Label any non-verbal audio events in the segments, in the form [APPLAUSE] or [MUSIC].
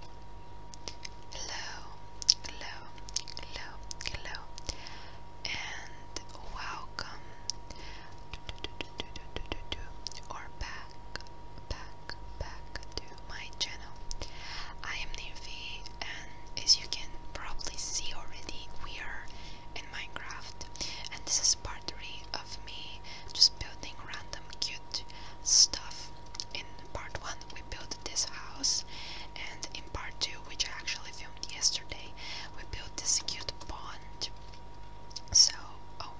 Hello, hello, hello, hello, and welcome or back, back, back to my channel. I am Nirvi, and as you can probably see already, we are in Minecraft, and this is part 3 of me just building random cute stuff in part one we built this house and in part two which I actually filmed yesterday we built this cute pond. So oh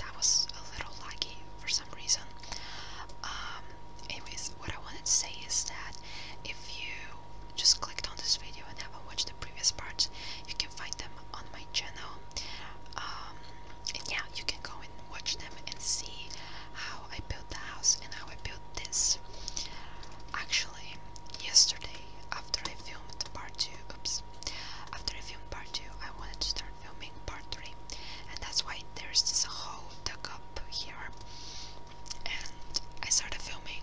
that was a little laggy for some reason. Um anyways what I wanted to say is that if you just clicked on this video and haven't watched the previous parts you can find them on my channel. Um and yeah you can go and watch them and see how I built the house and how I built this. Actually, yesterday after I filmed part two, oops, after I filmed part two, I wanted to start filming part three, and that's why there's this whole dug up here. And I started filming,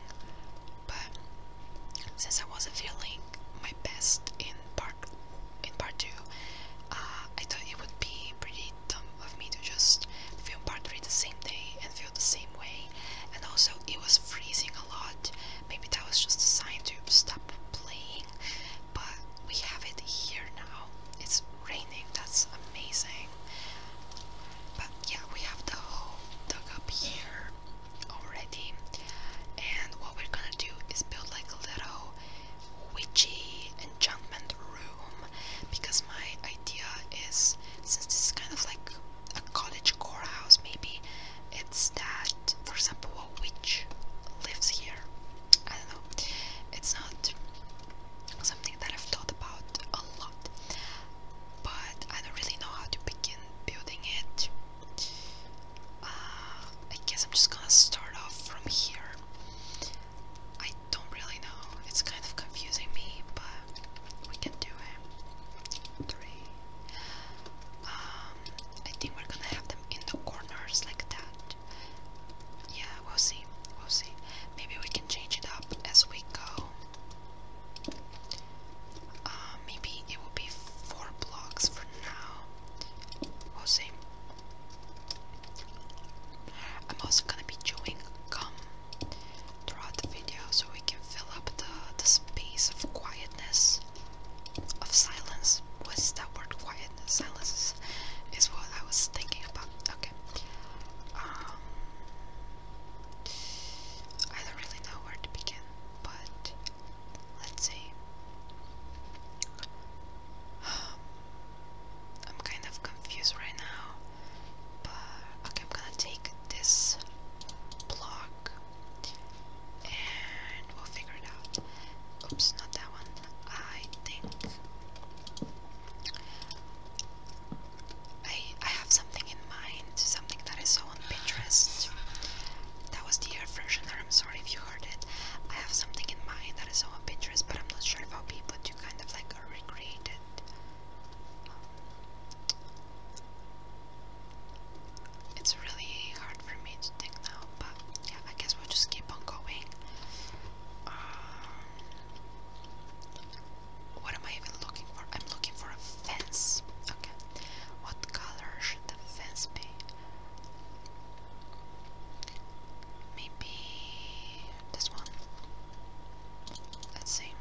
but since I wasn't feeling my best in part in part two, uh, I thought it would be pretty dumb of me to just film part three the same day and feel the same way. And also, it was freezing a lot. Maybe that was just a sign to stop playing. But we have it here now. It's raining. That's amazing. But yeah, we have the hole dug up here already. And what we're gonna do is build like a little witchy enchantment room because my idea is since this is kind of like a college core house maybe it's that for example a witch lives here. I don't know. It's not something that I've thought about a lot. But I don't really know how to begin building it. Uh, I guess I'm just gonna start off from here. I don't really know. It's kind of confusing me, but we can do it. Three. Um, I think we're gonna have them in the corners like that. Yeah, we'll see. We'll see. Maybe we can change it up as we go. Uh, maybe it will be four blocks for now. We'll see. I'm also gonna be chewing gum throughout the video so we can fill up the, the space of quietness, of silence. What's that word? Quietness? Silence is, what I was thinking about. Okay. Um, I don't really know where to begin, but let's see. Um, I'm kind of confused right now, okay, I'm gonna take this block and we'll figure it out. Oops, not that one. I think I I have something in mind, something that I saw on Pinterest. That was the air freshener. I'm sorry if you I have something in mind that is I saw on but I'm not sure if I'll be able to kind of like recreate it. it's really hard for me to think now, but yeah, I guess we'll just keep on going. Um, what am I even looking for? I'm looking for a fence. Okay. What color should the fence be? Maybe this one. Let's see.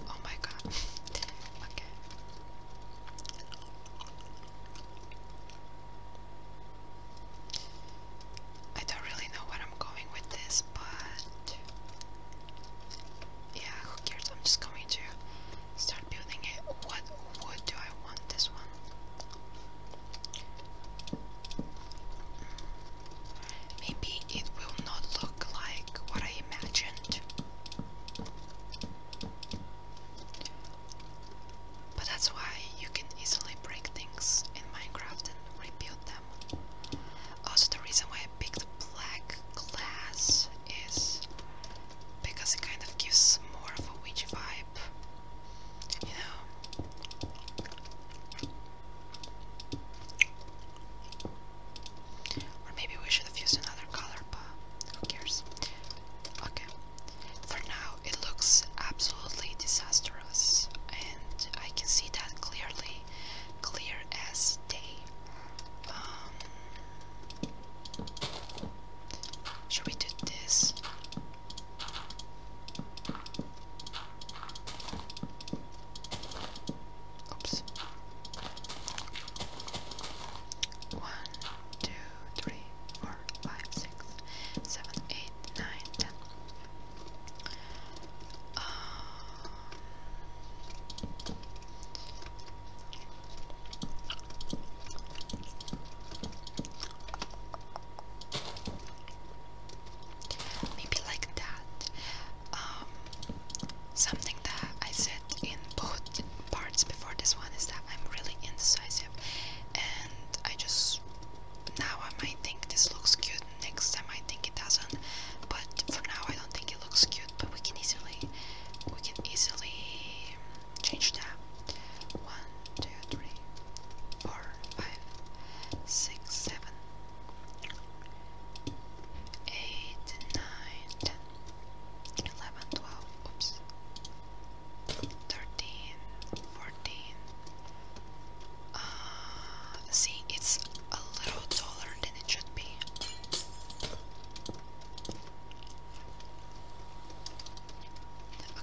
Oh my god. [LAUGHS] okay. I don't really know what I'm going with this, but yeah, who cares? I'm just going to start building it. What wood do I want? This one. Maybe it will not look like what I imagined. But that's why you can easily break things in Minecraft and rebuild. Also, the reason why I picked black glass is because it kind of gives more of a witch vibe, you know. Or maybe we should have used another color, but who cares? Okay. For now, it looks absolutely disastrous, and I can see that clearly clear as day. Um, should we do this? Oops. One, two, three, four, five, six, seven, eight, nine, ten. Um, maybe like that. Um, something that I said in both parts before this one is that I'm really indecisive, and I just now I might think this looks cute next time. I think it doesn't, but for now I don't think it looks cute. But we can easily, we can easily change that. One, two, three, four, five, six, seven, eight, nine, ten. oops, 13, uh, see, it's a little taller than it should be.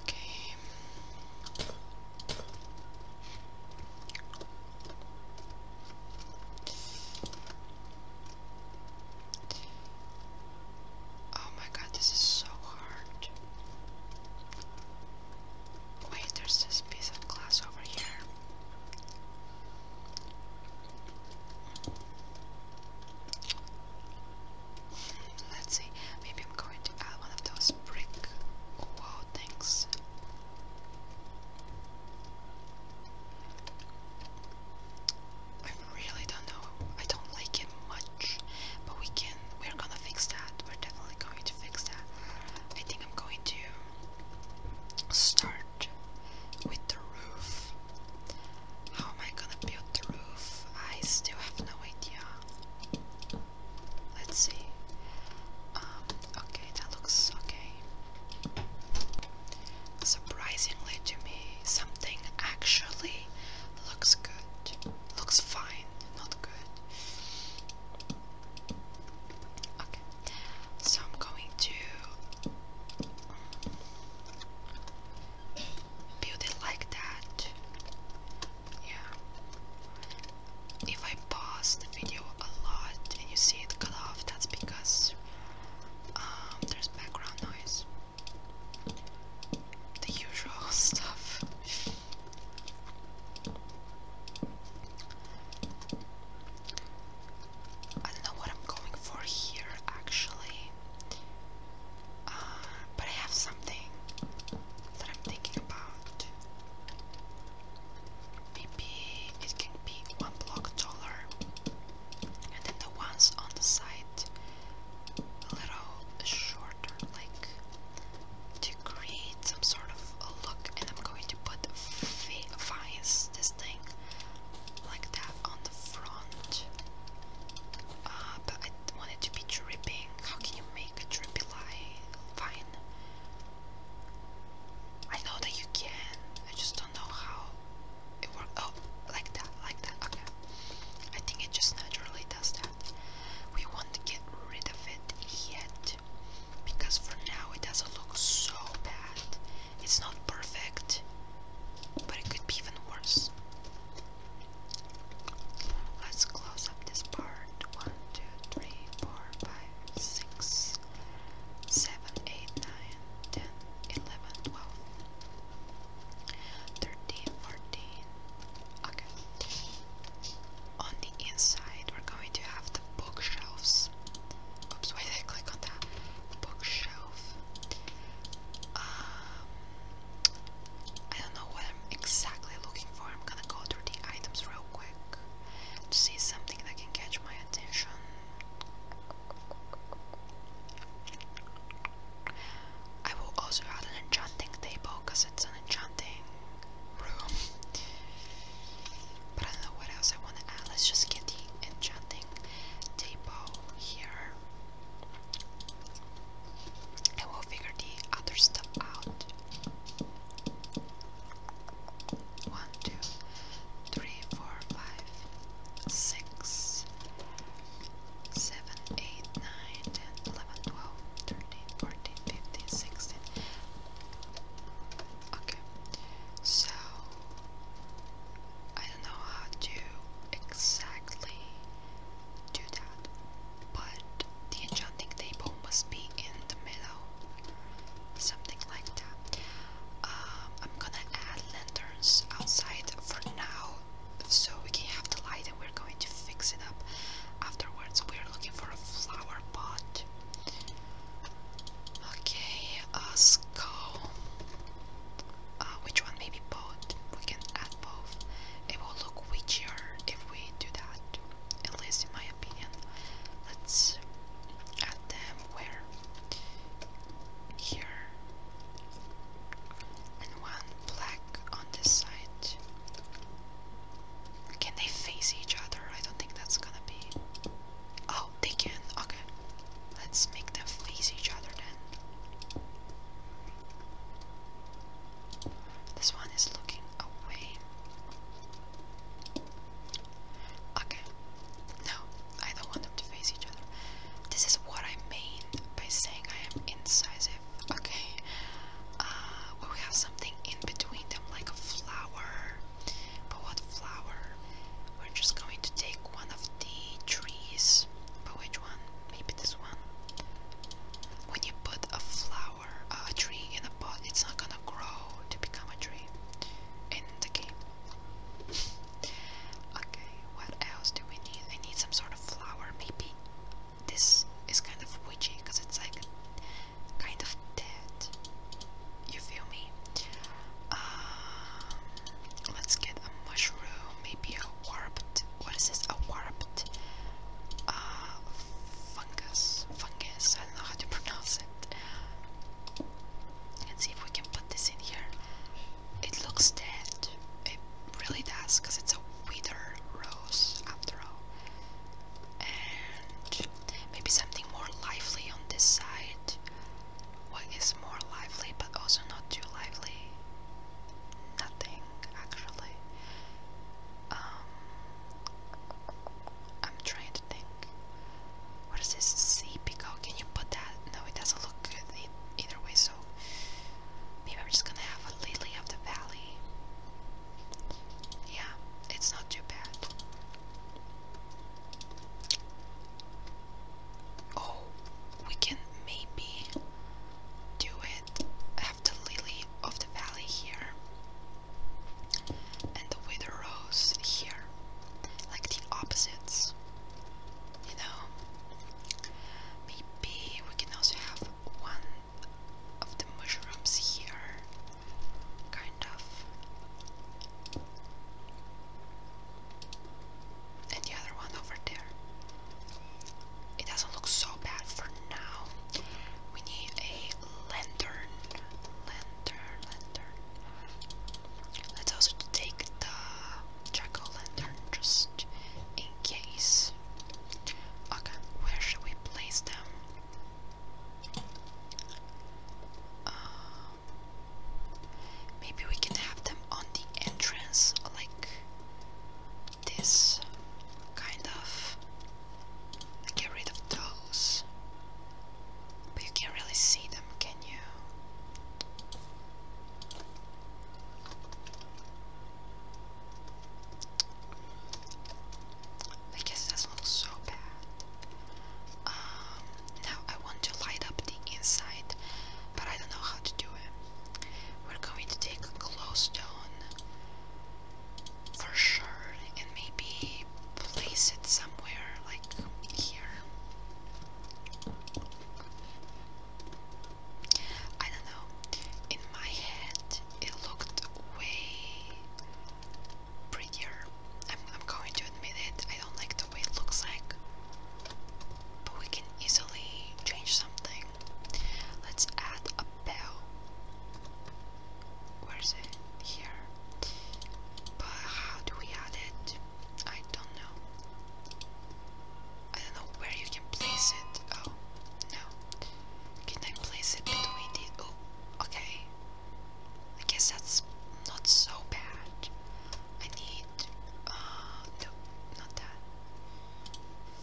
Okay. Oh my god, this is so hard. Wait, there's this piece of glass over here. Let's see, maybe I'm going to add one of those brick wall things. I really don't know. I don't like it much, but we can. We're gonna fix that. We're definitely going to fix that. I think I'm going to start with the roof. How am I gonna build the roof? I still have no idea. Let's see. Um, okay, that looks okay. Surprisingly to me, something actually looks good. Looks fine, not good. So I'm going to build it like that. Yeah. If I pause the video a lot and you see it cut off, that's because um, there's background noise. The usual [LAUGHS] stuff. I don't know what I'm going for here actually. Uh, but I have something that I'm thinking about. Maybe it can be one block taller, and then the ones on the side a little shorter, like create some sort of a look and I'm going to put a this thing, like that on the front. Uh, but I want it to be dripping. How can you make a drippy vine? I know that you can, I just don't know how it works. Oh, like that, like that, okay. I think it just naturally does that. We want to get rid of it yet because for now it doesn't look so bad. It's not perfect, but it could be even worse. Let's close up this part. One, two, three, four, five, six, seven, eight, nine, ten, eleven, twelve, thirteen, fourteen. Okay. On the inside, we're going to have bookshelves. Oops, why did I click on that? bookshelf. Um, I don't know what I'm exactly looking for. I'm gonna go through the items real quick see something that can catch my attention. I will also add an enchanting table because it's an enchanting room. But I don't know what else I want to add. Let's just get the enchanting table here. And we'll figure the other stuff out. One, two, three, four, five, six, seven, eight, nine, ten, eleven, twelve, thirteen, fourteen, fifteen, sixteen. Okay, so I don't know how to exactly do that, but the enchanting table must be in the middle, something like that. Um, I'm gonna add lanterns outside for now so we can have the light and we're going to fix it up afterwards. We're looking for a flower pot Okay, let's uh, which one? Maybe both. We can add both. It will look witchier if we do that. At least in my opinion. Let's add them where? Here. And one black on this side. Can they face each other? I don't think that's gonna be. Oh, they can. Okay. Let's make them face each other then. This one is looking away. Okay. No, I don't want them to face each other. This is what I mean by saying I am incisive. Okay. Uh, we have something in between them, like a flower. But what flower? We're just going to take one of the trees. But which one? Maybe this one. When you put a flower, a tree in a pot, it's not gonna grow to become a tree in the game. [LAUGHS] okay, what else do we need? We need some sort of flower. Maybe this is kind of witchy because it's like kind of dead. You feel me? Um, let's get a mushroom, maybe a warped. What is this? A warped uh, fungus? Fungus? I don't know how to pronounce it. let see if we can put this in here. It looks dead. It really does, it's a wither rose after all and maybe something more lively on this side. What is more lively but also not too lively? Nothing actually. Um, I'm trying to think. What is this? Sea peacock? Can you put that? No, it doesn't look good either way. So maybe I'm just gonna have a lily of the valley. Yeah, it's not too bad. Oh, we can maybe do it after Lily of the Valley here and the Wither Rose here. Like the opposites. You know? Maybe we can also have one of the mushrooms here kind of. And the other one over there. It doesn't look so bad for now. We need a lantern. Lantern, lantern. Let's also take the jack lantern just in case. Okay, where should we place them? Um, maybe we can have them on the entrance, like this kind of. Get rid of those. But you can't really see them, can you? I guess that's not so bad. Um, now I want to light up the inside, but I don't know how to do it. We're going to take a glowstone for sure and maybe place it somewhere like here. I don't know. In my head, it looked way prettier. I'm, I'm going to admit it, I don't like the way it looks like. But we can easily change something. Let's add a bell. Where is it? Here. But how do we add it? I don't know. I don't know where you can place it. Oh, no. Can I place it between the. Oh, okay. I guess that's not so bad. I need, uh, no, not that.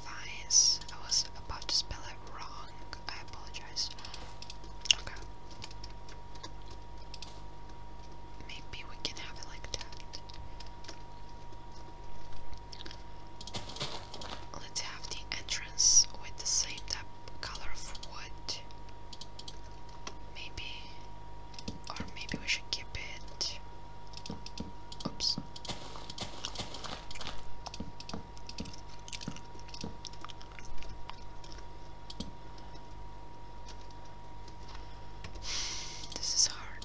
Vines. I was about to spell it wrong. I apologize. Okay. Maybe we can have it like that. Let's have the entry with the same type color of wood. Maybe, or maybe we should keep it. Oops. This is hard.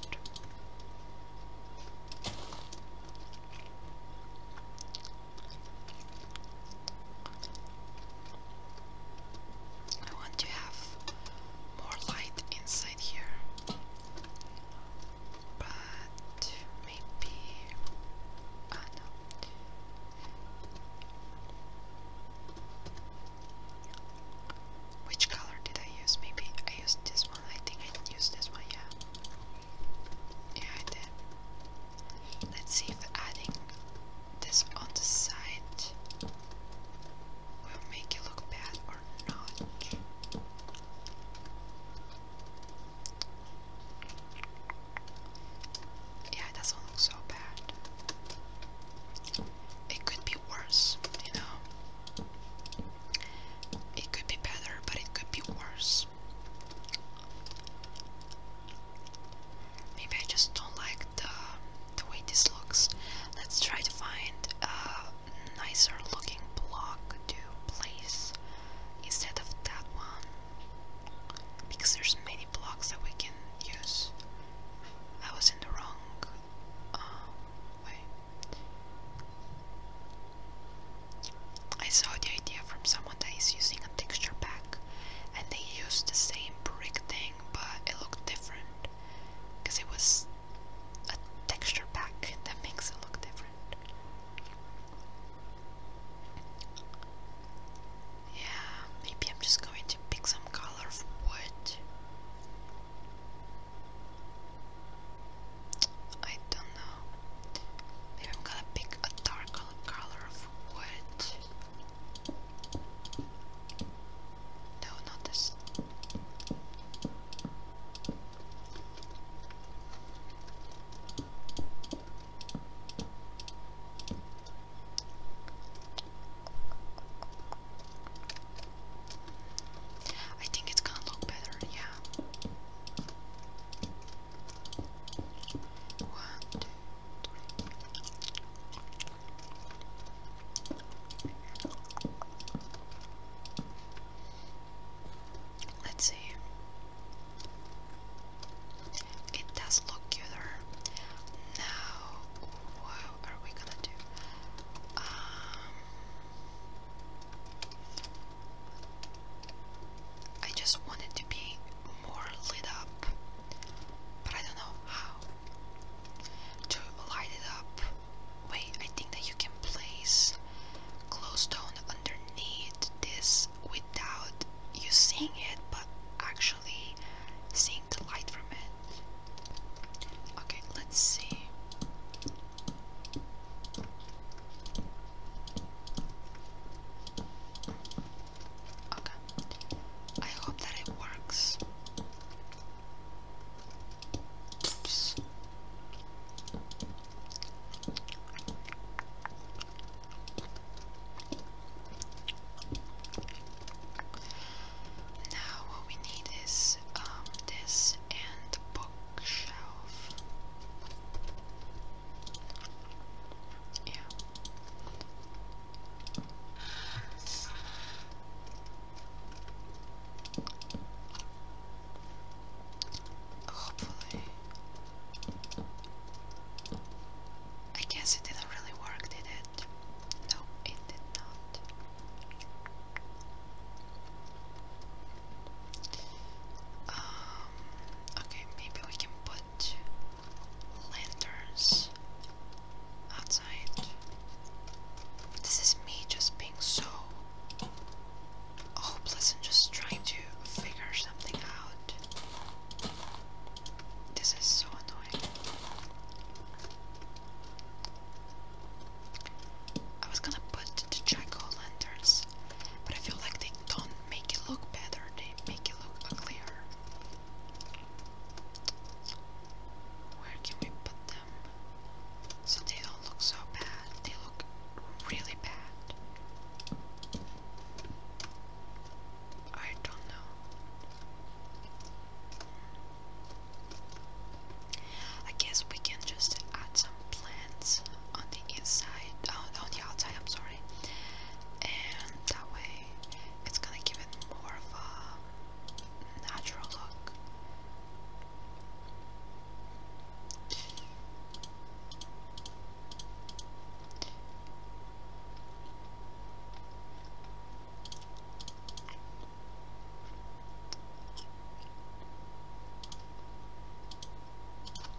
I want to have more light inside here, but maybe. Ah, oh, no. Which color did I use? Maybe I used this one. I think I used this one, yeah. Yeah, I Let's see if adding this on the side will make it look bad or not. Yeah, it doesn't look so bad. It could be worse, you know. It could be better, but it could be worse. Maybe I just don't like the the way this looks. Let's try to find a nicer looking block to place instead of that one. Because there's many blocks that we can use. I was in the wrong uh, way. I saw the idea from someone that is using a texture pack and they used the same brick thing but it looked different because it was a texture pack that makes it look different. Yeah, maybe I'm just going to pick some color of wood. I don't know. Maybe I'm gonna pick a dark color color of wood. No, not this. I think it's gonna look better, yeah two, three. Let's see. It does look cuter. Now, what are we gonna do? Um, I just want it to be more lit up, but I don't know how to light it up. Wait, I think that you can place glowstone underneath this without you it, but actually seeing the light from it. Okay, let's see. Okay. I hope that it works. Oops. Now what we need is um this and bookshelf. Yeah. Hopefully. I guess it didn't really work, did it? No, it did not. Um, okay, maybe we can put lanterns outside. This is me just being so hopeless and just trying to figure something out. This is so annoying. I was gonna put the lanterns but I feel like they don't make it look better, they make it look uglier. Where can we put them? So they don't look so bad, they look really bad. I don't know. I guess we can just add some plants on the inside, oh, on the outside, I'm sorry sorry. And that way it's gonna give it more of a natural look.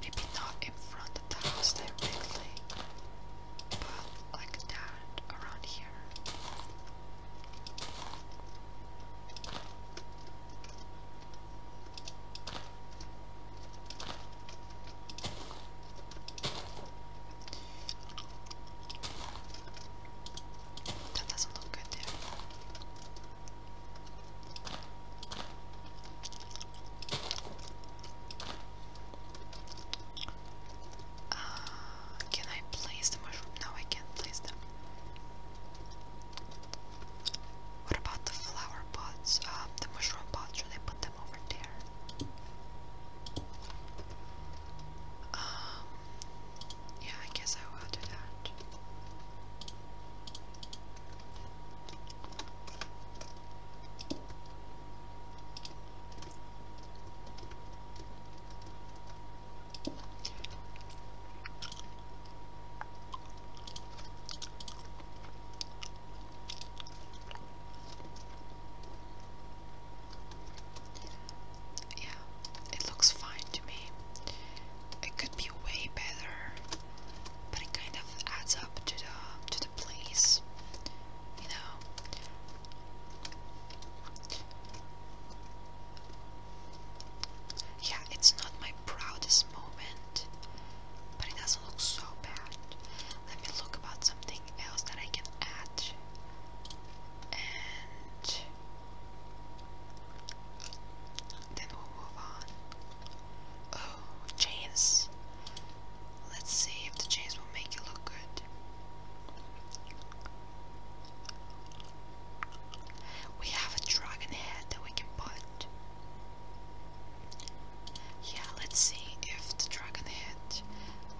Maybe not in front of the house directly, but like that around here. That doesn't look good there. Uh, can I place the mushroom? No, I can't place them. What about the flower pots? Um, the mushroom pots, should I put them over there? Um, yeah, I guess I will do that. Yeah, it looks fine to me it could be way better, but it kind of adds up to the to the place, you know. Yeah, it's not my proudest moment, but it doesn't look so bad. Let me look about something else that I can add then we'll move on. Oh, chains. Let's see if the chains will make it look good. We have a dragon head that we can put. Yeah, let's see if the dragon head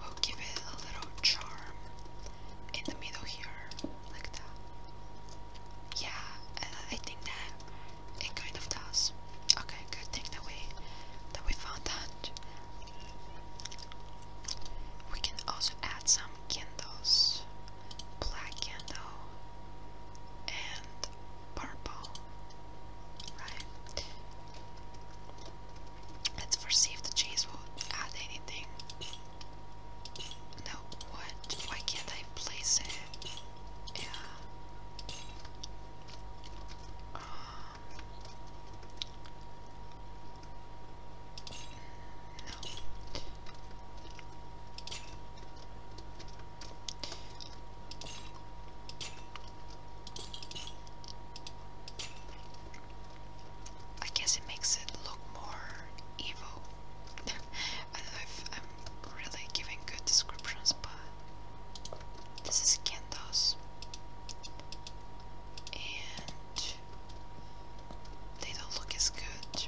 will give it a little charm in the middle here like that. Yeah, I, think that it kind of does. Okay, good thing that we that we found that. We can also add some candles, black candle and purple, right? Let's foresee if the cheese will add anything. No, what? Why can't I place it? Yeah. Um. No. I guess it makes it look more evil. [LAUGHS] I am really giving good descriptions, but this is Kendos, and they don't look as good,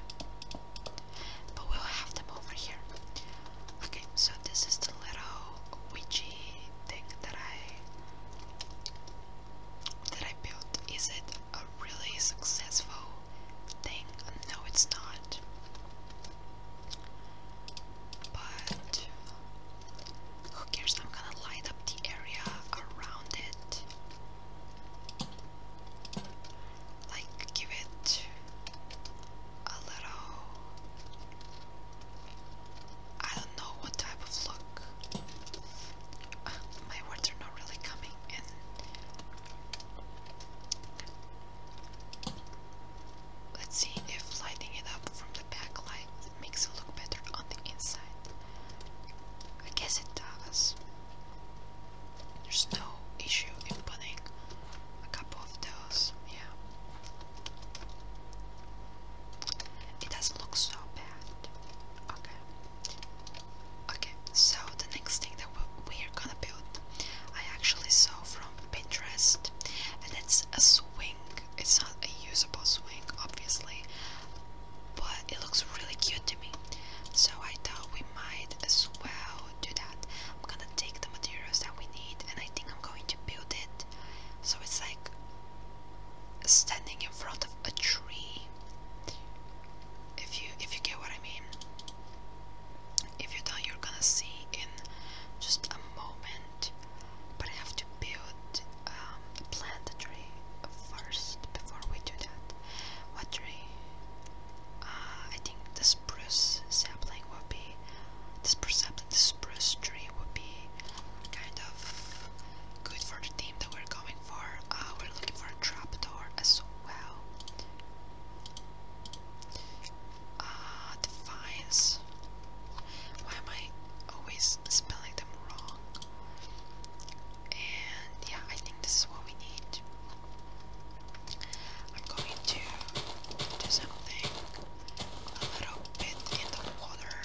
but we'll have them over here. Okay, so this is the little witchy thing that I that I built. Is it a really successful thing. No, it's not. But who cares? I'm gonna light up the area around it. Like, give it a little. I don't know what type of look. [LAUGHS] my words are not really coming in. Let's see if lighting it up from the back light makes it look better on the inside. I guess it does. There's no issue in putting a couple of those, yeah. It doesn't look so bad. Okay. Okay, so the next thing we're gonna build I actually saw from Pinterest and it's a swing. It's not a usable swing obviously but it looks really cute to me. So I thought we might as well do that. I'm gonna take the materials that we need and I think I'm going to build it. So it's like standing in front of a tree. If you if you get what I mean. If you thought you're gonna see in just a moment, but I have to build, um, the plant a tree first before we do that. What tree? Uh, I think the spruce sapling would be, the spruce sapling, the spruce tree would be kind of good for the theme that we're going for. Uh, we're looking for a trapdoor as Wow. Ah, uh, defines. Why am I always spelling them wrong? And yeah, I think this is what we need. I'm going to do something a little bit in the water.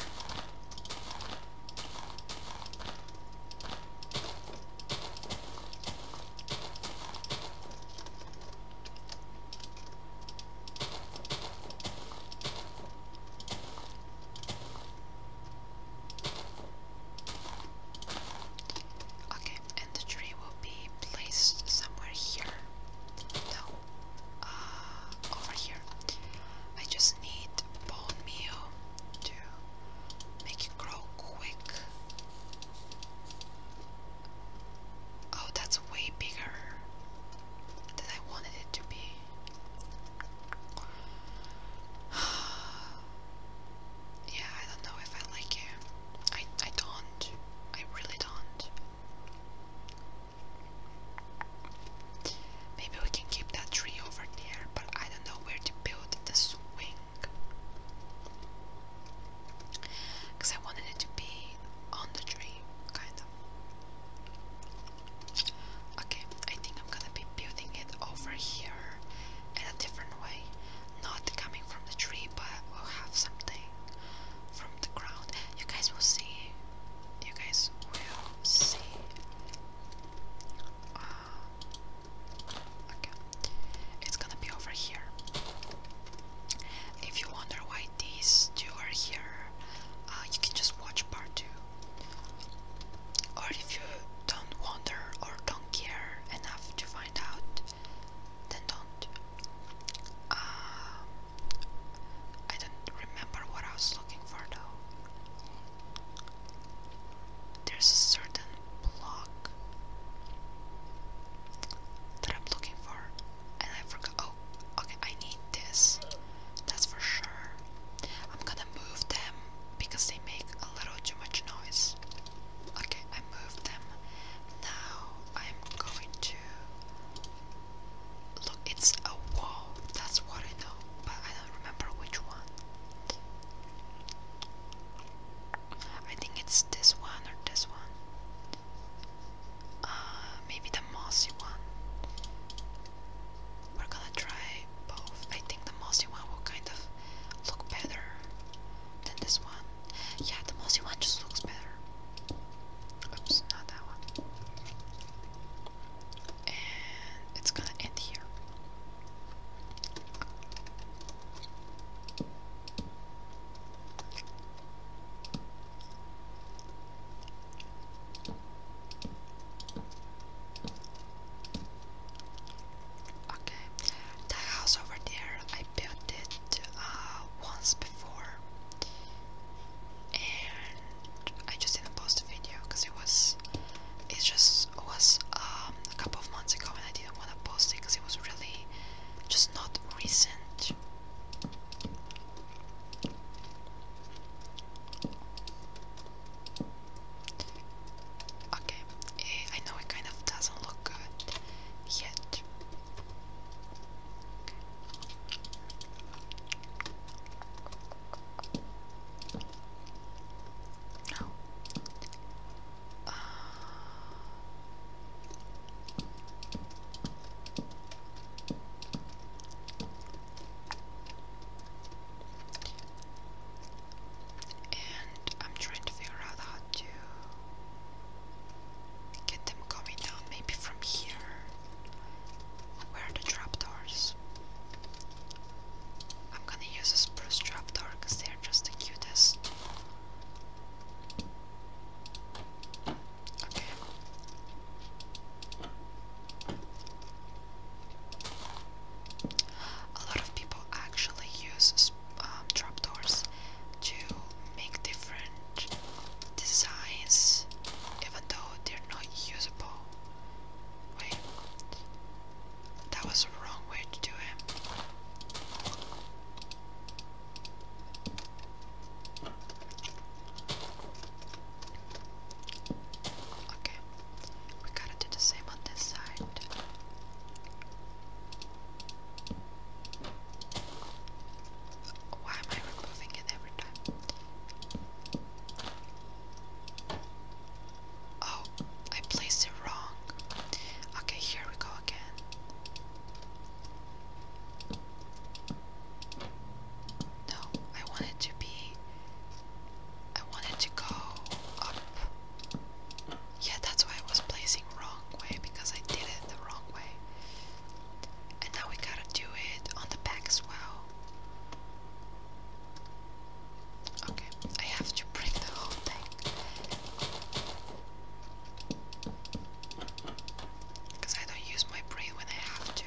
Okay, and the tree will be placed somewhere here. No, uh, over here. I just need bone meal to make it grow quick. Oh, that's way bigger than I wanted it to be. [SIGHS] yeah, I don't know if I like it. I I don't. I really don't. Maybe we can keep that tree over there, but I don't know where to build the swing. Because I wanted it to be on the tree, kind of. Okay, I think I'm gonna be building it over here in a different way. Not coming from the tree, but we'll have something from the ground. You guys will see. You guys will see. Um, okay. It's gonna be over here. If you wonder why these two are here, uh, you can just watch part two. Or if you don't wonder or don't care enough to find out, then don't. Uh, I don't remember what I was looking for though there's a certain block that I'm looking for, and I forgot. Oh, okay, I need this. That's for sure. I'm gonna move them because they make a little too much noise. Okay, I moved them. Now I'm going to. Look, it's a wall. That's what I know, but I don't remember which one. I think it's this one or this one. Uh, maybe the mossy one. We're gonna try both. I think the mossy one will kind of look better than this one. Yeah, the mossy one just looks better. Oops, not that one. And it's gonna end here. Okay, the house over there, I built it uh, once before, and I just didn't post a video because it was, it's just this was um, a couple of months ago and I didn't want to post it because it was really just not recent. Okay, eh, I know it kind of doesn't look good yet. No and I'm trying to figure out how to get them coming down, maybe from here. Where are the trapdoors? I'm gonna use a spruce trapdoor because there. They're just the cutest. Okay. A lot of people actually use um, trapdoors to make different designs, even though they're not usable. Wait, that was the wrong way to do it. Okay, we gotta do the same on this side. Why am I removing it every time? Oh, I placed it wrong. Okay, here we go again. No, I wanted to be. I wanted to go up. Yeah, that's why I was placing wrong way because I did it the wrong way. And now we gotta do it on the back as well. Okay, I have to break the whole thing. Because I don't use my brain when I have to.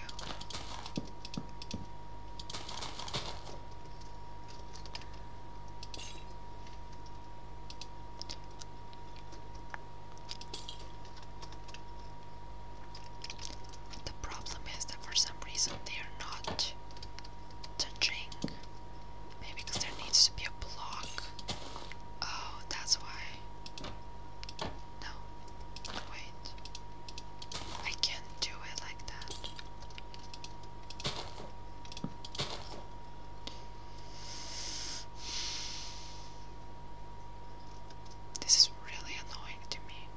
The problem is that for some reason they are not touching Maybe because there needs to be a block. Oh, that's why. No. Wait. I can't do it like that. This is really annoying to me.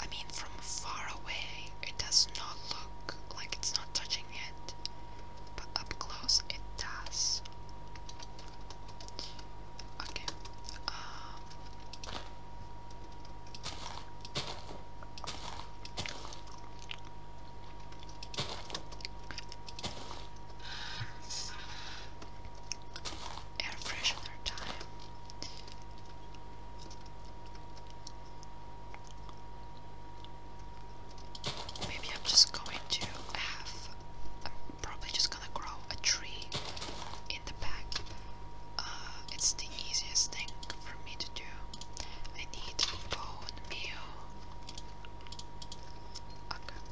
I mean, from far away, it does not look like it's not touching yet, but up close, it does. Okay. Um, air freshener time. Maybe I'm just going to have. I'm probably just gonna grow a tree in the back. Uh, it's the easiest thing for me to do. I need bone meal. Okay.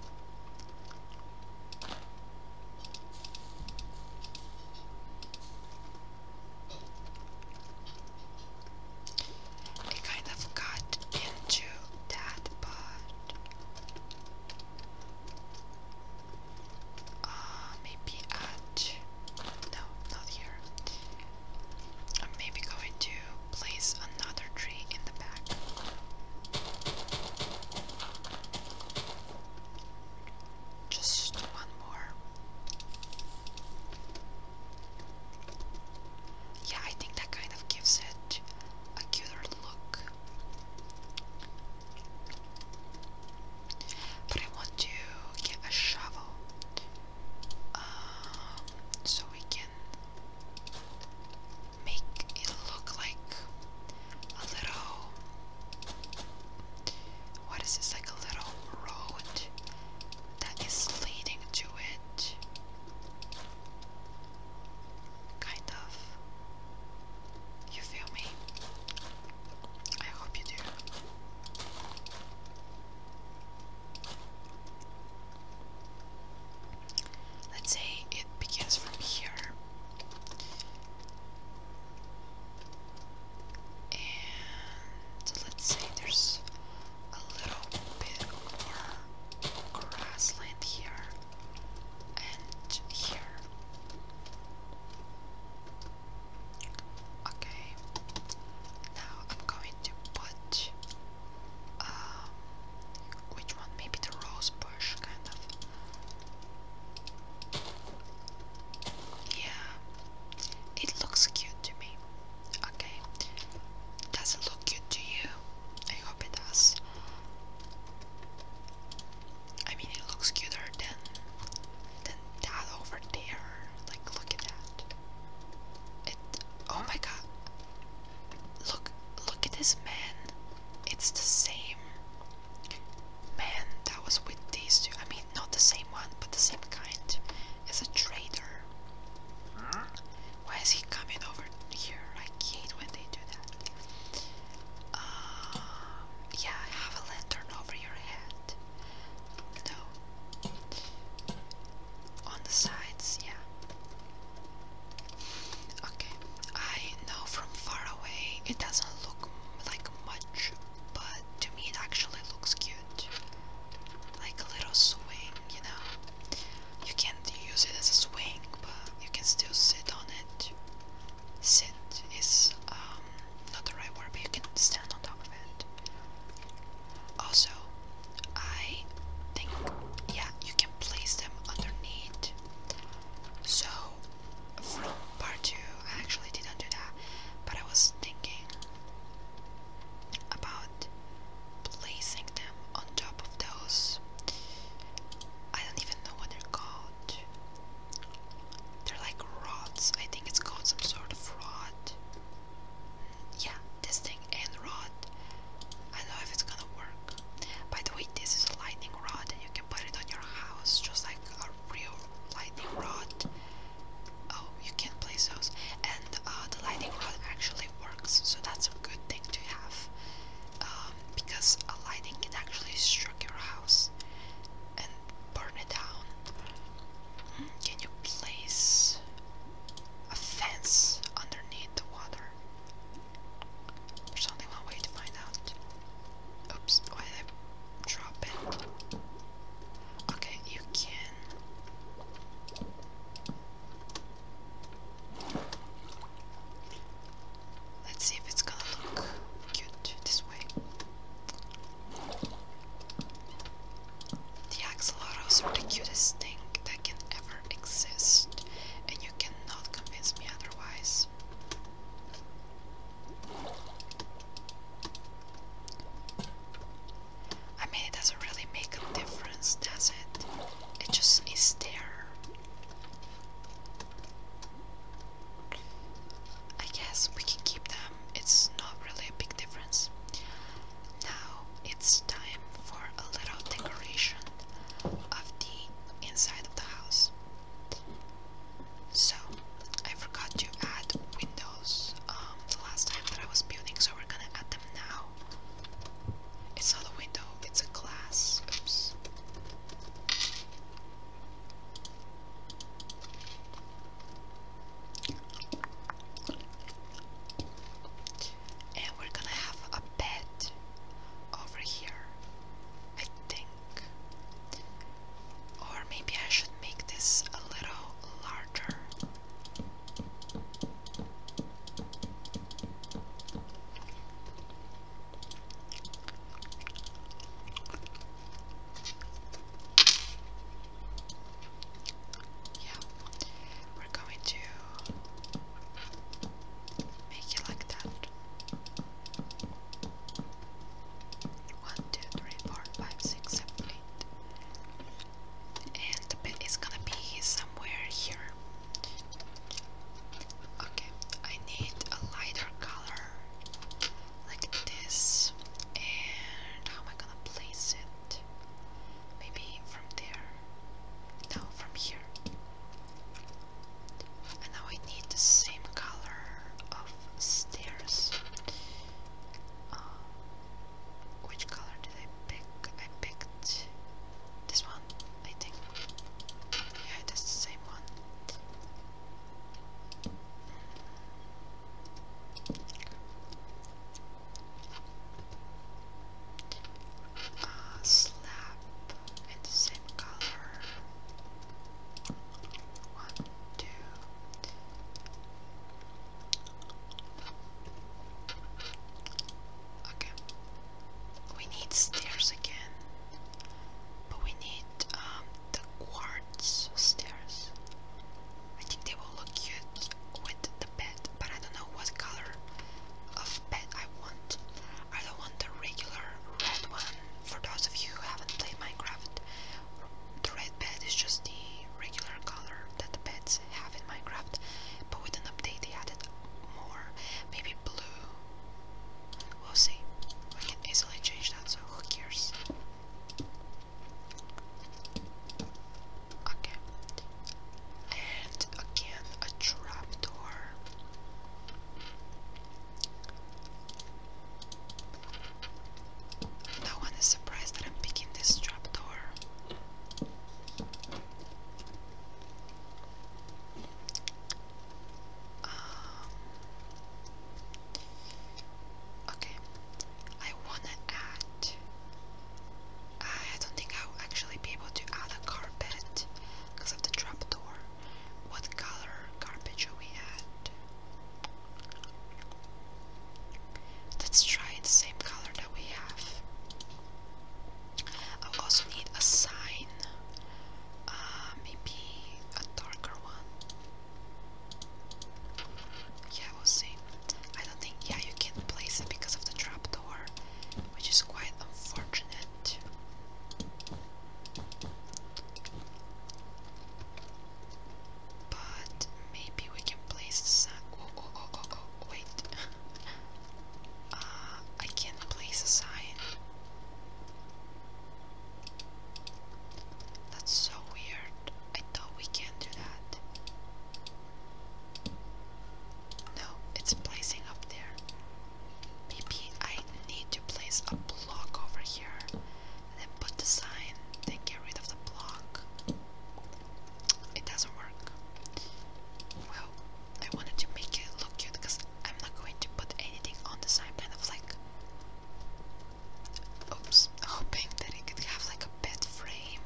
I kind of got into that, but uh, maybe at no, not here. I'm maybe going to place another tree in the back. Just one more. Yeah, I think that kind of gives it a cuter look. But I want to get a shovel um, so we can make it look like a little what is this? Like a little road that is leading to it. Kind of. You feel me? I hope you do. Let's say it begins from here. And let's say there's a little bit more grassland here and here. Okay, now I'm going to put um, which one? Maybe the rose bush, kind of. Yeah, it looks cute to me. Okay, does it look cute to you? I hope it does. I mean, it looks cuter than than that over there. Like, look at that. It. Oh my god. Look, look at this man. It's the same man that was with these two. I mean, not the same one, but the same kind, As a traitor. Why is he coming over here? I hate when they do that. Um, yeah, have a lantern over your head. No. On the sides, yeah. Okay, I know from far away it doesn't look like much, but to me it actually looks cute. Like a little swing, you know? You can't use it as a swing, but you can still sit on it. Sit is um, not the right word, but you can stand on top of it. Also, I think, yeah, you can place them underneath. So, from part two, I actually didn't do that, but I was thinking about placing them on top of those. I don't even know what they're called. They're like rods. I think it's called some sort of rod. Yeah, this thing and rod. I don't know if it's gonna work. By the way, this is a lightning rod, and you can put it on your house just like a real lightning rod. Oh, you can place those. And uh, the lightning rod actually works, so that's a good thing to have. Um, because a lightning can actually strike your house and burn it down. Hmm, can you place a fence underneath the water? There's only one way to find out. Oops, drop it. Okay, you can. Let's see if it's gonna look cute this way. The axolotls are the cutest thing that can ever exist, and you cannot convince me otherwise. I mean, it doesn't really make a difference, does it? It just is there. I guess we can keep them, it's not really a big difference. Now it's time for a little decoration of the inside of the house. So I forgot to add windows um, the last time that I was building, so we're gonna add them now. It's not a window, it's a glass. Oops. And we're gonna have a bed over here. I think or maybe I should make this a little larger. Yeah, we're going to make it like that. 1, 2, 3, 4, 5, 6, 7, 8. And the bed is gonna be somewhere here. Okay, I need a lighter color like this. And how am I gonna place it? Maybe from there. No, from here. And now I need the same color of stairs. Uh, which color did I pick? I picked this one, I think. Yeah, that's the same one. Uh, slab in the same color. One, Okay. We need stairs again. But we need um, the quartz stairs. I think they will look cute with the bed, but I don't know what color of bed I want. I don't want the regular red one. For those of you who haven't played Minecraft, the red bed is just the regular color that the beds have in Minecraft, but with an update they added more, maybe blue. We'll see. We can easily change that, so who cares? Okay. And again, a trapdoor. No one is surprised that I'm picking this trapdoor. Um, okay, I wanna add. I don't think I'll actually be able to add a carpet because of the trap door. What color carpet should we add? Let's try the same color that we have. I will also need a sign, uh, maybe a darker one. Yeah, we'll see. I don't think, yeah, you can't place it because of the trapdoor, which is quite unfortunate. But maybe we can place sign. Oh, oh, oh, oh, oh, wait. [LAUGHS] uh, I can place a sign. That's so weird. I thought we can do that. No, it's placing up there. Maybe I need to place a block over here then put the sign, then get rid of the block. It doesn't work. Well, I wanted to make it look cute because I'm not going to put anything on the sign, kind of like. Oops, [LAUGHS] hoping that it could have like a bed frame.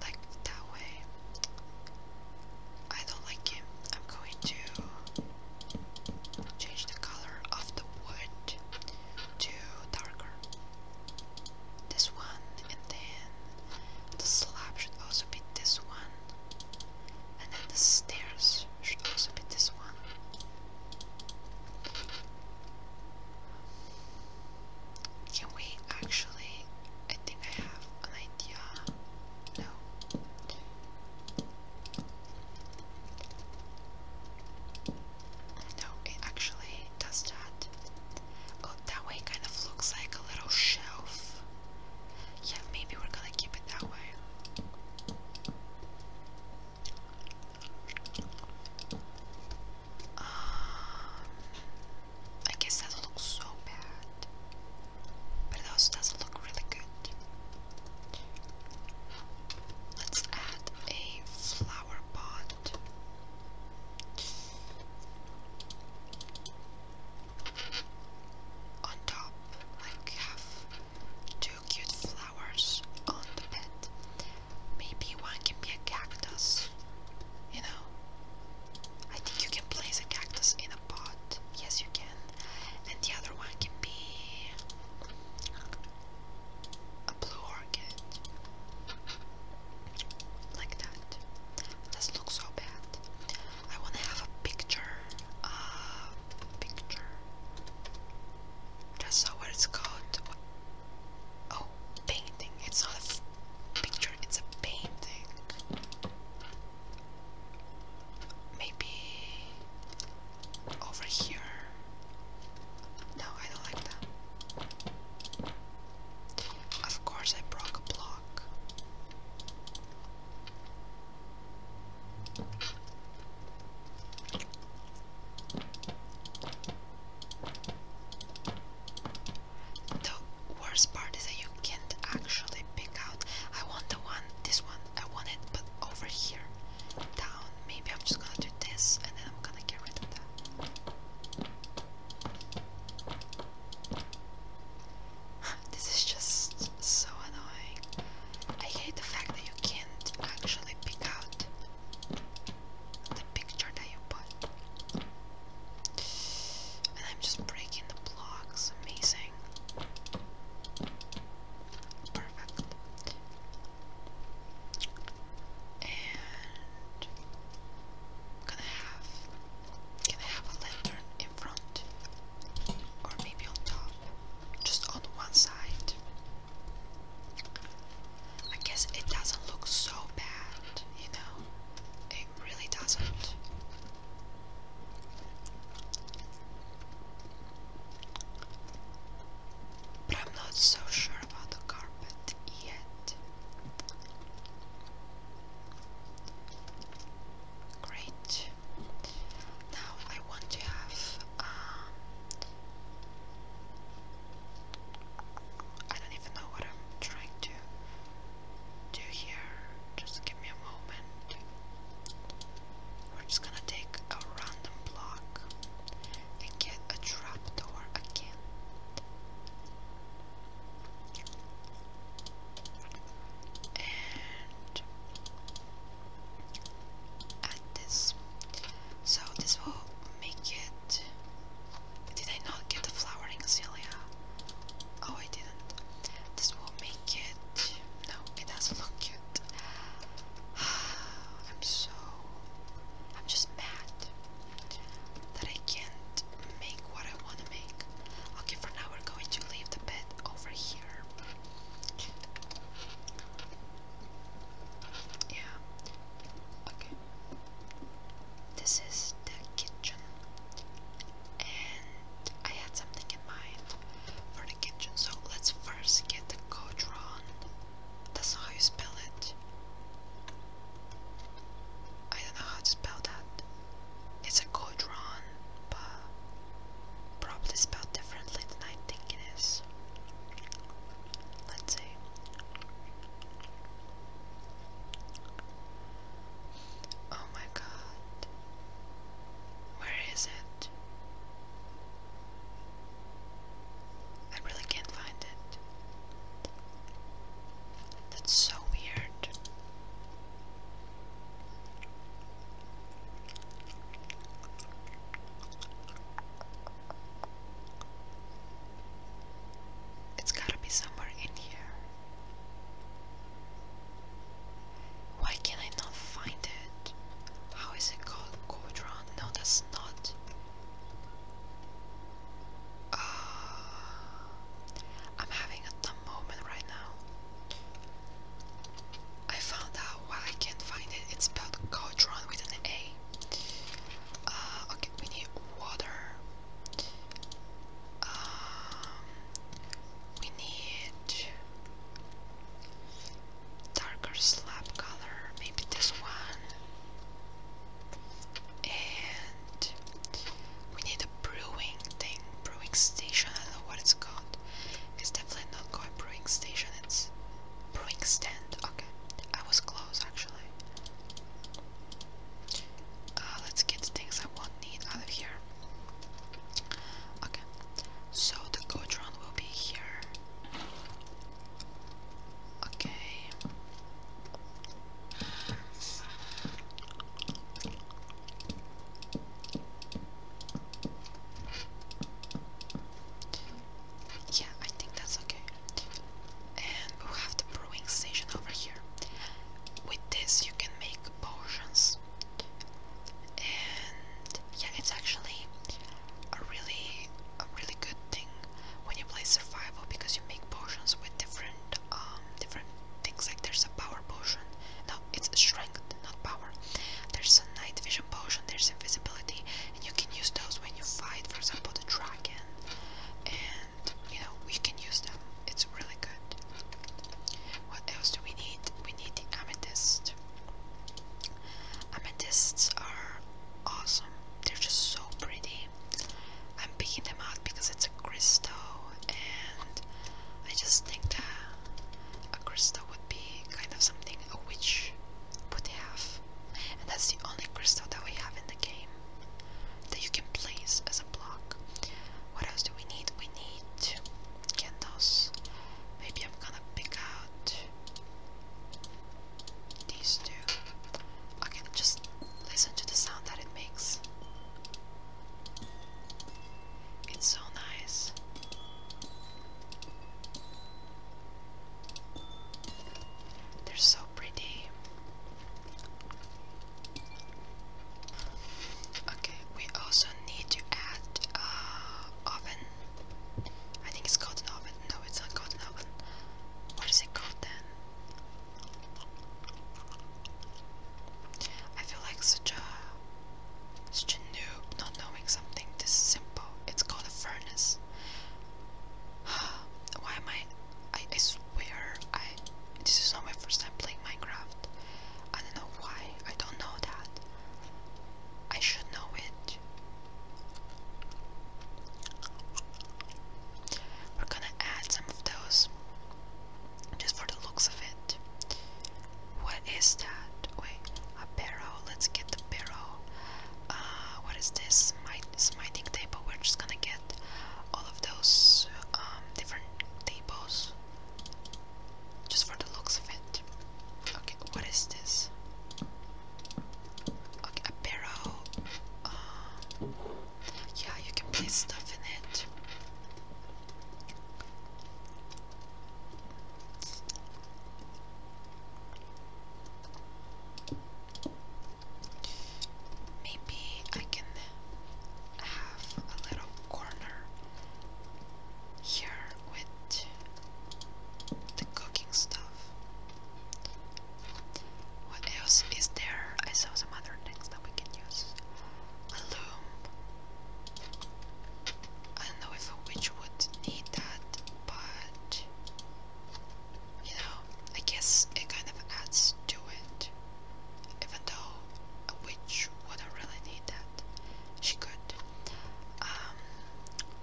Like that way. I don't like him. I'm going to Change the color of the wood to darker. This one, and then the slab should also be this one, and then the stairs should also be this one. Can we actually? I think I have an idea. No. No, it actually does that. Oh, that way kind of looks like a little shelf. Yeah, maybe we're gonna keep it that way. Um, I guess that does so bad, but it also doesn't look really good. Let's add a flower pot. On top, like have two cute flowers on the bed. Maybe one can be a cactus, you know. I think you can place a cactus in a pot. Yes, you can. And the other one can be a blue orchid like that. This looks so bad. I wanna have a picture, uh, picture. That's not what called. Oh, painting. It's not a picture. It's a painting. Maybe over here. No, I don't like that. Of course, I broke a block. The worst part is that you can't actually pick out. I want the one, this one, I want it, but over here down. Maybe I'm just gonna do this and then I'm gonna get rid of that. [SIGHS] this is just so annoying. I hate the fact that you can't actually pick out the picture that you put. And I'm just breaking the blocks. Amazing. Perfect. And gonna have can I have a lantern in front? Or maybe on top? Just on one side. I guess it doesn't look so bad, you know? It really doesn't. But I'm not so sure about the carpet yet. Great. Now I want to have. Um, I don't even know what I'm trying to do here. Just give me a moment. We're just gonna take a random block and get a trap door again. And add this. So this will make it. Did I not get the flowering Celia? Oh, I didn't. This will make it no, it doesn't look cute. [SIGHS] I'm so. I'm just mad that I can't make what I want to make. Okay, for now we're going to leave the bed over here. Yeah. Okay. This is the kitchen. And I had something in mind for the kitchen. So let's first get the codron. That's how you spell it. I don't know how to spell that. It's a codron, but probably spelled differently than I think it is. Let's see. Oh my god. Where is it? I really can't find it. That's so weird. It's gotta be somewhere in here. Why can I not find it? How is it called? Codron? No, that's not. Uh, I'm having a dumb moment right now. I found out why I can't find it. It's spelled Cauldron with an A. Uh, okay, we need water. Um, we need darker slab color, maybe this one. And we need a brewing thing, brewing station, I don't know what it's called. It's definitely not called brewing station, it's brewing stand. Okay, I was close actually. Uh, let's get things I won't need out of here. Okay, so the Gotron will be here. Okay. Yeah, I think that's okay. And we have the brewing station over here. With this, you can make potions, yeah, it's actually a really, a really good thing when you play survival because you make potions with different, um, different things. Like there's a power potion. No, it's strength, not power. There's a night vision potion. There's invisibility, and you can use those when you fight, for example, the dragon. And you know we can use them. It's really good. What else do we need? We need the amethyst. Amethysts are awesome. They're just so pretty. I'm picking them out because it's a crystal and I just think that a crystal would be kind of something a witch would have. And that's the only crystal that we have in the game that you can place as a block. What else do we need? We need candles. Maybe I'm gonna pick out these two. Okay, just listen to the sound that it makes. It's so nice. They're so pretty. Okay, we also need to add uh, oven. I think it's called an oven. No, it's not called an oven. What is it called then? I feel like such a such a noob not knowing something this simple. It's called a furnace. [SIGHS] Why am I, I swear I. This is not my first time playing Minecraft. I don't know why. I don't know that. I should know it. We're gonna add some of those just for the looks of it. What is that? Wait, a barrel. Let's get the barrel. Uh, what is this? Smite smiting table. We're just gonna get all of those um, different tables. Just for the looks of it. Okay, what is this? Okay, a barrel. Uh, yeah, you can place stuff in it. Maybe I can have a little corner here with the cooking stuff. What else is there? I saw some other things that we can use. A loom. I don't know if a witch would need that, but you know, I guess it kind of adds to it. Even though a witch wouldn't really need that. She could um,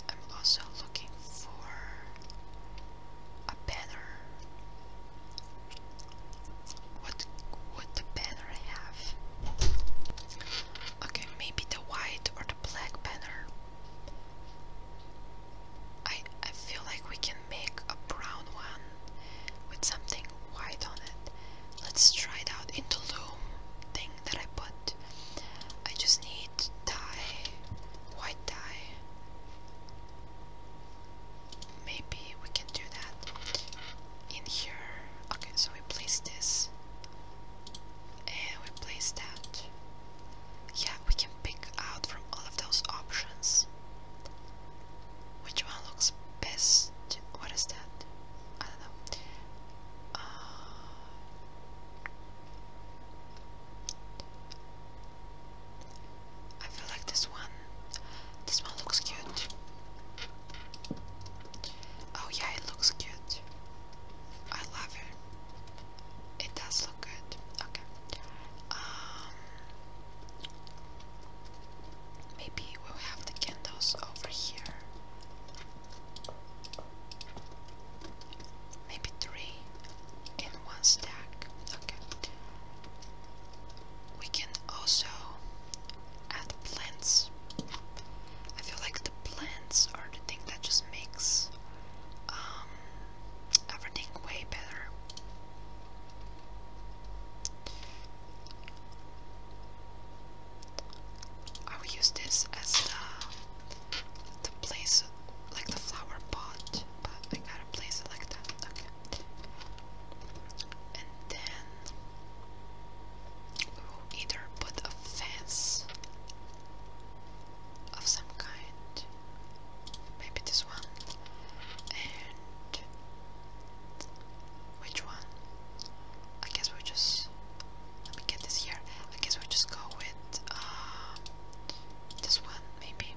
I'm also looking for a banner. What would the banner have? Okay, maybe the white or the black banner. I I feel like we can make a brown one with something white on it. Let's try it out in the loom thing that I put. I just need dye, white dye. Maybe we can do that in here. Okay, so we place this and we place that. Yeah, we can pick out from all of those options. Which one looks best? What is that? Uh, I feel like this one. This one looks cute. Oh yeah, it looks cute. I love it. It does look good. Okay. Um, maybe we'll have the candles over here. Maybe three in one stack. Okay. We can also add plants. I feel like the plants are the thing that just makes um, everything way better. I will use this as the place like the flower pot, but I gotta place it like that. And then we will either put a fence of some kind, maybe this one, and which one? I guess we just let me get this here. I guess we'll just go with um, this one, maybe.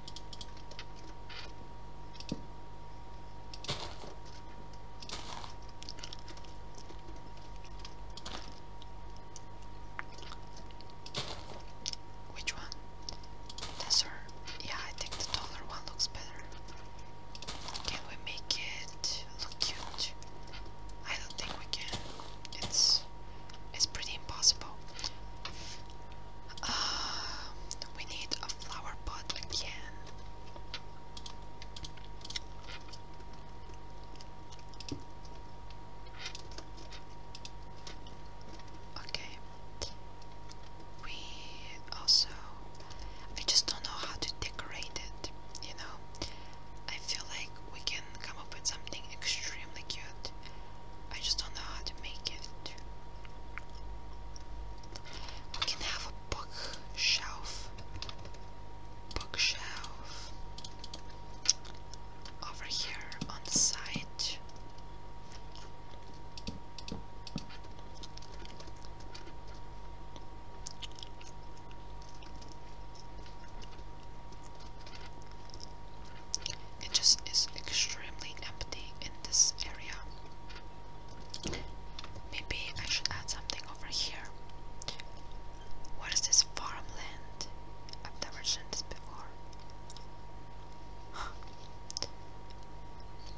Which one? This or yeah, I think the taller one looks better. Can we make it look cute? I don't think we can. It's it's pretty impossible. Uh, we need a flower pot again. Okay. We also I just don't know how to decorate it, you know. I feel like we can come up with something extremely cute. I just don't know how to make it. We can have a bookshelf. Bookshelf over here on the side. It just is extremely empty in this area. Maybe I should add something over here. What is this farmland? I've never seen this before. Huh.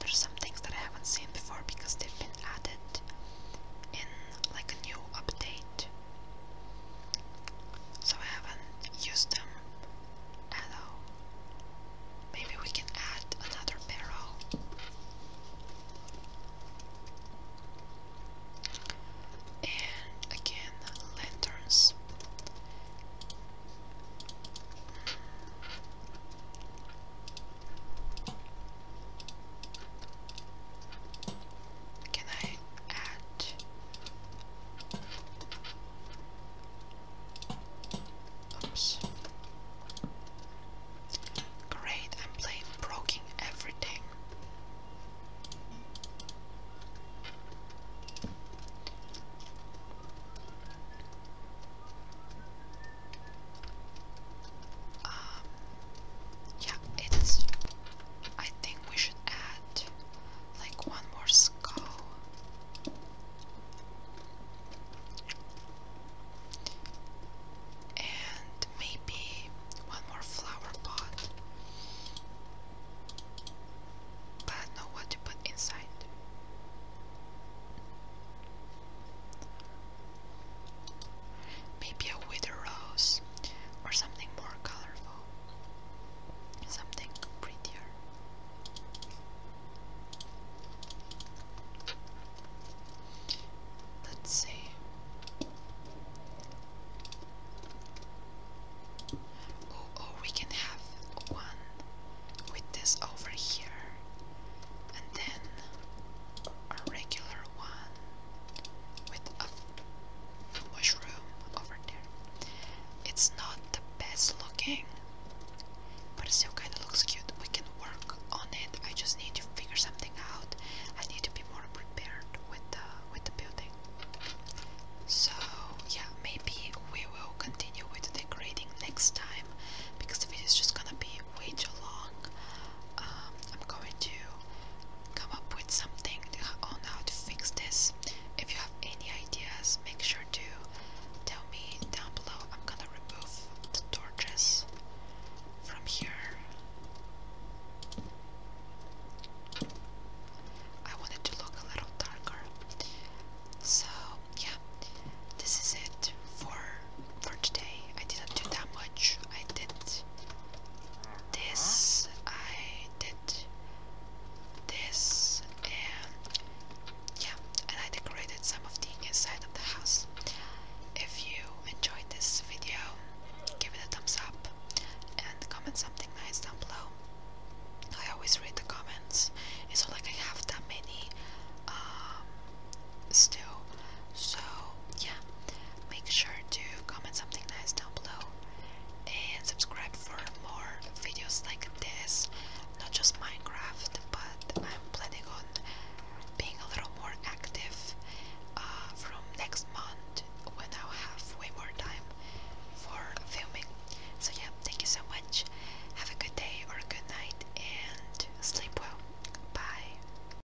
There's some things that I haven't seen before because they've been added in like a new update. So I haven't used them at Maybe we can add another barrel. And again, lanterns. Can I add? Oops. Great, I'm playing broken everything. Um, yeah, it's. I think we should add like one more skull. And maybe one more flower pot. But not what to put inside. Maybe a wither rose or something more colorful, something prettier. Let's see. Oh, oh, we can have one with this over here, and then a regular one with a mushroom over there. It's not the best looking, but it still kind of looks cute. We can work on it. I just need to figure something out. I need to be more prepared with the with the building. So yeah, maybe we will continue with the decorating next time because the video is just gonna be way too long. Um, I'm going to come up with something on how to fix this. If you have any ideas, make sure to tell me down below. I'm gonna remove the torches from here. I wanted to look a little darker. So, yeah, this is it for for today. I didn't do that much. I did this, I did this, and yeah, and I decorated some of the inside of the house. If you enjoyed this video, give it a thumbs up and comment something nice down below. I always read the comments. It's not like I have that many um, still. So yeah, Make sure to comment something nice down below and subscribe for more videos like this. Not just Minecraft, but I'm planning on being a little more active uh, from next month when I'll have way more time for filming. So, yeah, thank you so much. Have a good day or a good night and sleep well. Bye.